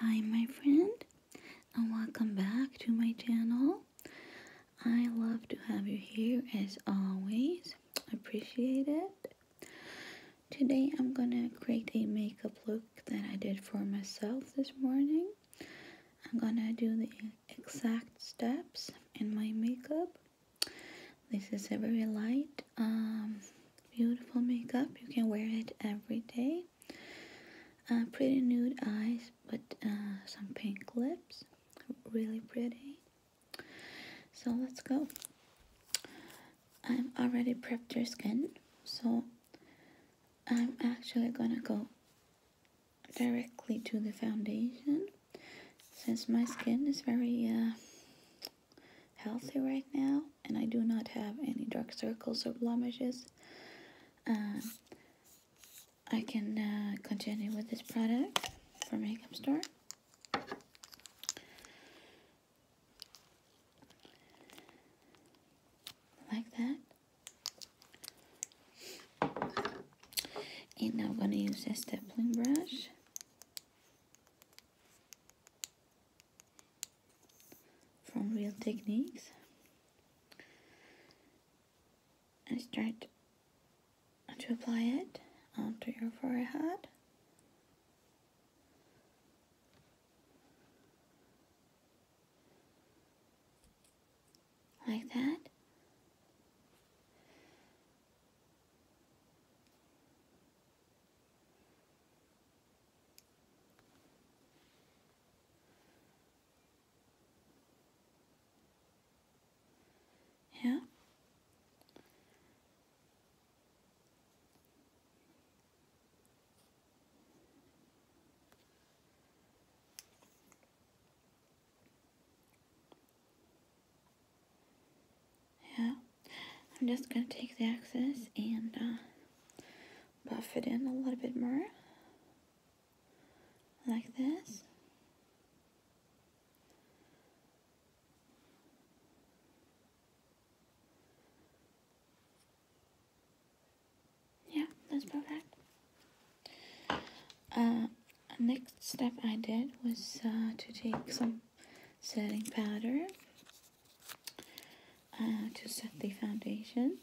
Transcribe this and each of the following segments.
Hi my friend and welcome back to my channel. I love to have you here as always. Appreciate it. Today I'm gonna create a makeup look that I did for myself this morning. I'm gonna do the exact steps in my makeup. This is a very light, um, beautiful makeup. You can wear it every day. Uh, pretty nude eyes, but uh, some pink lips really pretty so let's go i have already prepped your skin so I'm actually gonna go directly to the foundation since my skin is very uh, healthy right now and I do not have any dark circles or blemishes uh, I can uh, continue with this product from Makeup Store. Like that. And now I'm going to use a stapling brush. From Real Techniques and start to apply it onto your forehead. Like that. Yeah. Yeah. I'm just going to take the excess and uh, buff it in a little bit more. Like this. Yeah, that's perfect. Uh, next step I did was uh, to take some setting powder uh, to set the foundation.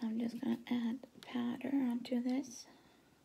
So I'm just going to add powder onto this.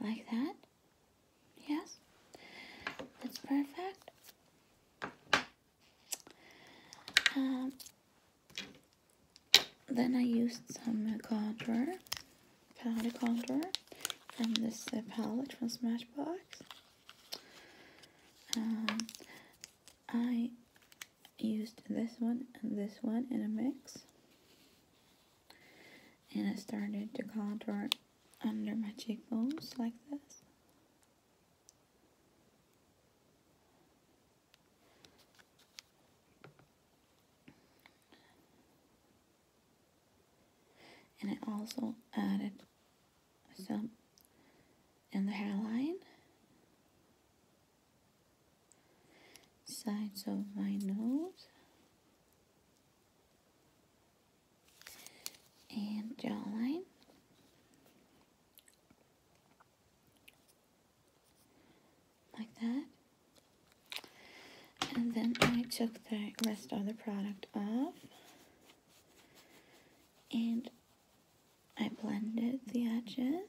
Like that? Yes? That's perfect. Um, then I used some contour, powder contour from this uh, palette from Smashbox. Um, I used this one and this one in a mix and I started to contour under my cheekbones like this. And I also added some in the hairline sides of my nose and jawline like that and then I took the rest of the product off and I blended the edges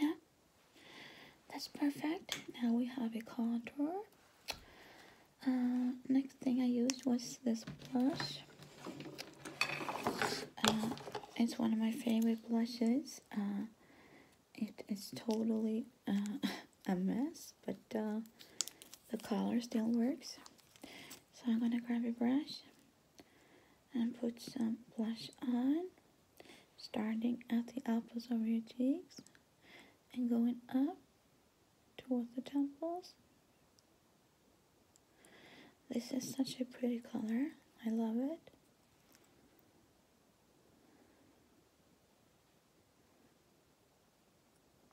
Yeah, that's perfect. Now we have a contour. Uh, next thing I used was this blush. Uh, it's one of my favorite blushes. Uh, it is totally a mess, but the color still works. So I'm gonna grab a brush and put some blush on starting at the apples of your cheeks and going up towards the temples this is such a pretty color I love it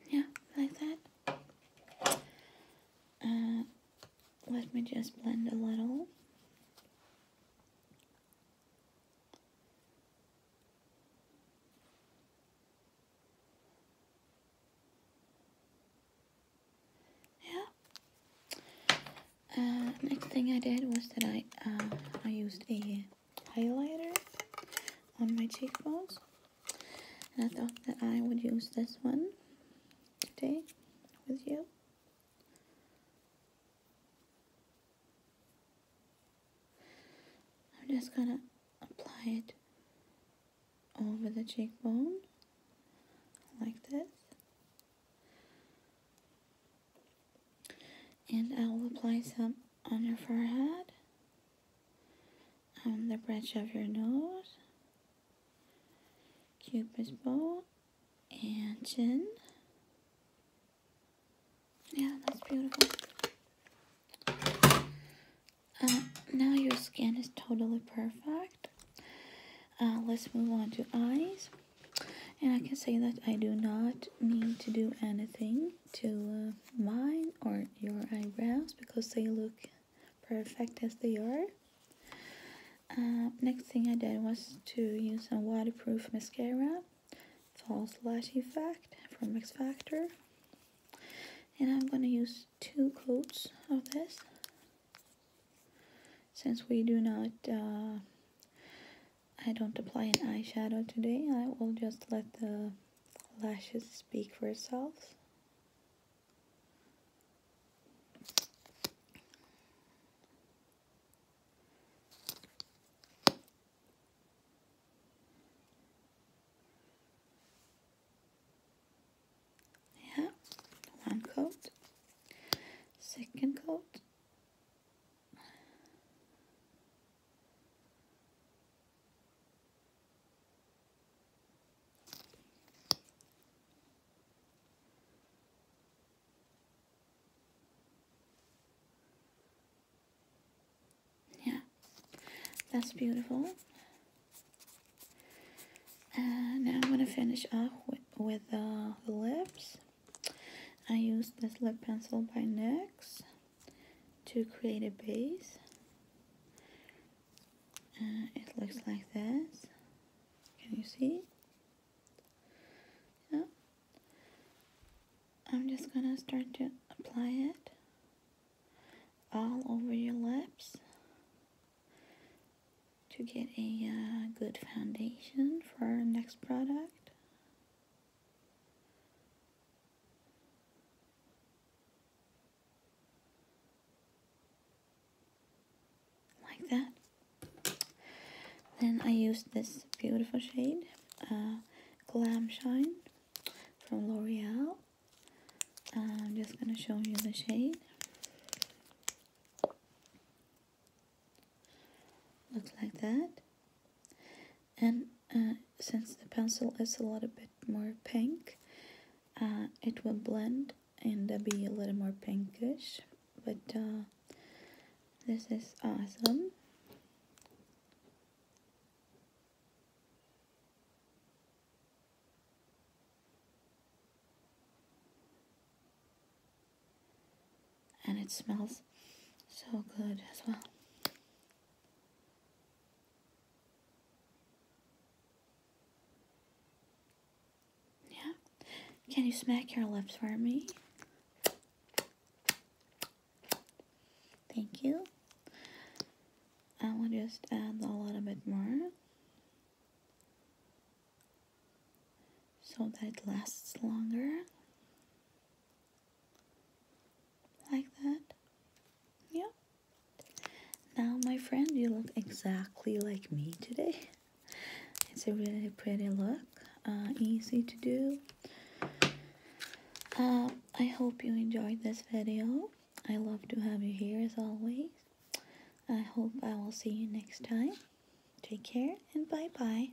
yeah like that uh, let me just blend a little. Uh, next thing I did was that I uh, I used a highlighter on my cheekbones and I thought that I would use this one today with you I'm just gonna apply it over the cheekbone like this and I will apply some on your forehead on the bridge of your nose cupid's bow and chin. Yeah, that's beautiful. Uh, now your skin is totally perfect. Uh, let's move on to eyes. And I can say that I do not need to do anything to uh, mine or your eyebrows because they look perfect as they are. Uh, next thing I did was to use some waterproof mascara, false lash effect from X Factor. And I'm gonna use two coats of this since we do not, uh, I don't apply an eyeshadow today, I will just let the lashes speak for itself. Yeah, one coat, second coat. Yeah, that's beautiful. And now I'm gonna finish off with, with the lips. I use this lip pencil by NYX to create a base. Uh, it looks like this. Can you see? Yeah. I'm just gonna start to apply it all over your lips to get a uh, good foundation for our next product like that. Then I used this beautiful shade, uh, Glam Shine from L'Oreal. I'm just gonna show you the shade. Looks like that. And uh, since the pencil is a little bit more pink, uh, it will blend and be a little more pinkish but uh, this is awesome and it smells so good as well yeah? Can you smack your lips for me? Thank you. I will just add a little bit more. So that it lasts longer. Like that. Yeah. Now, my friend, you look exactly like me today. It's a really pretty look, uh, easy to do. Um, I hope you enjoyed this video. I love to have you here as always. I hope I will see you next time. Take care and bye-bye.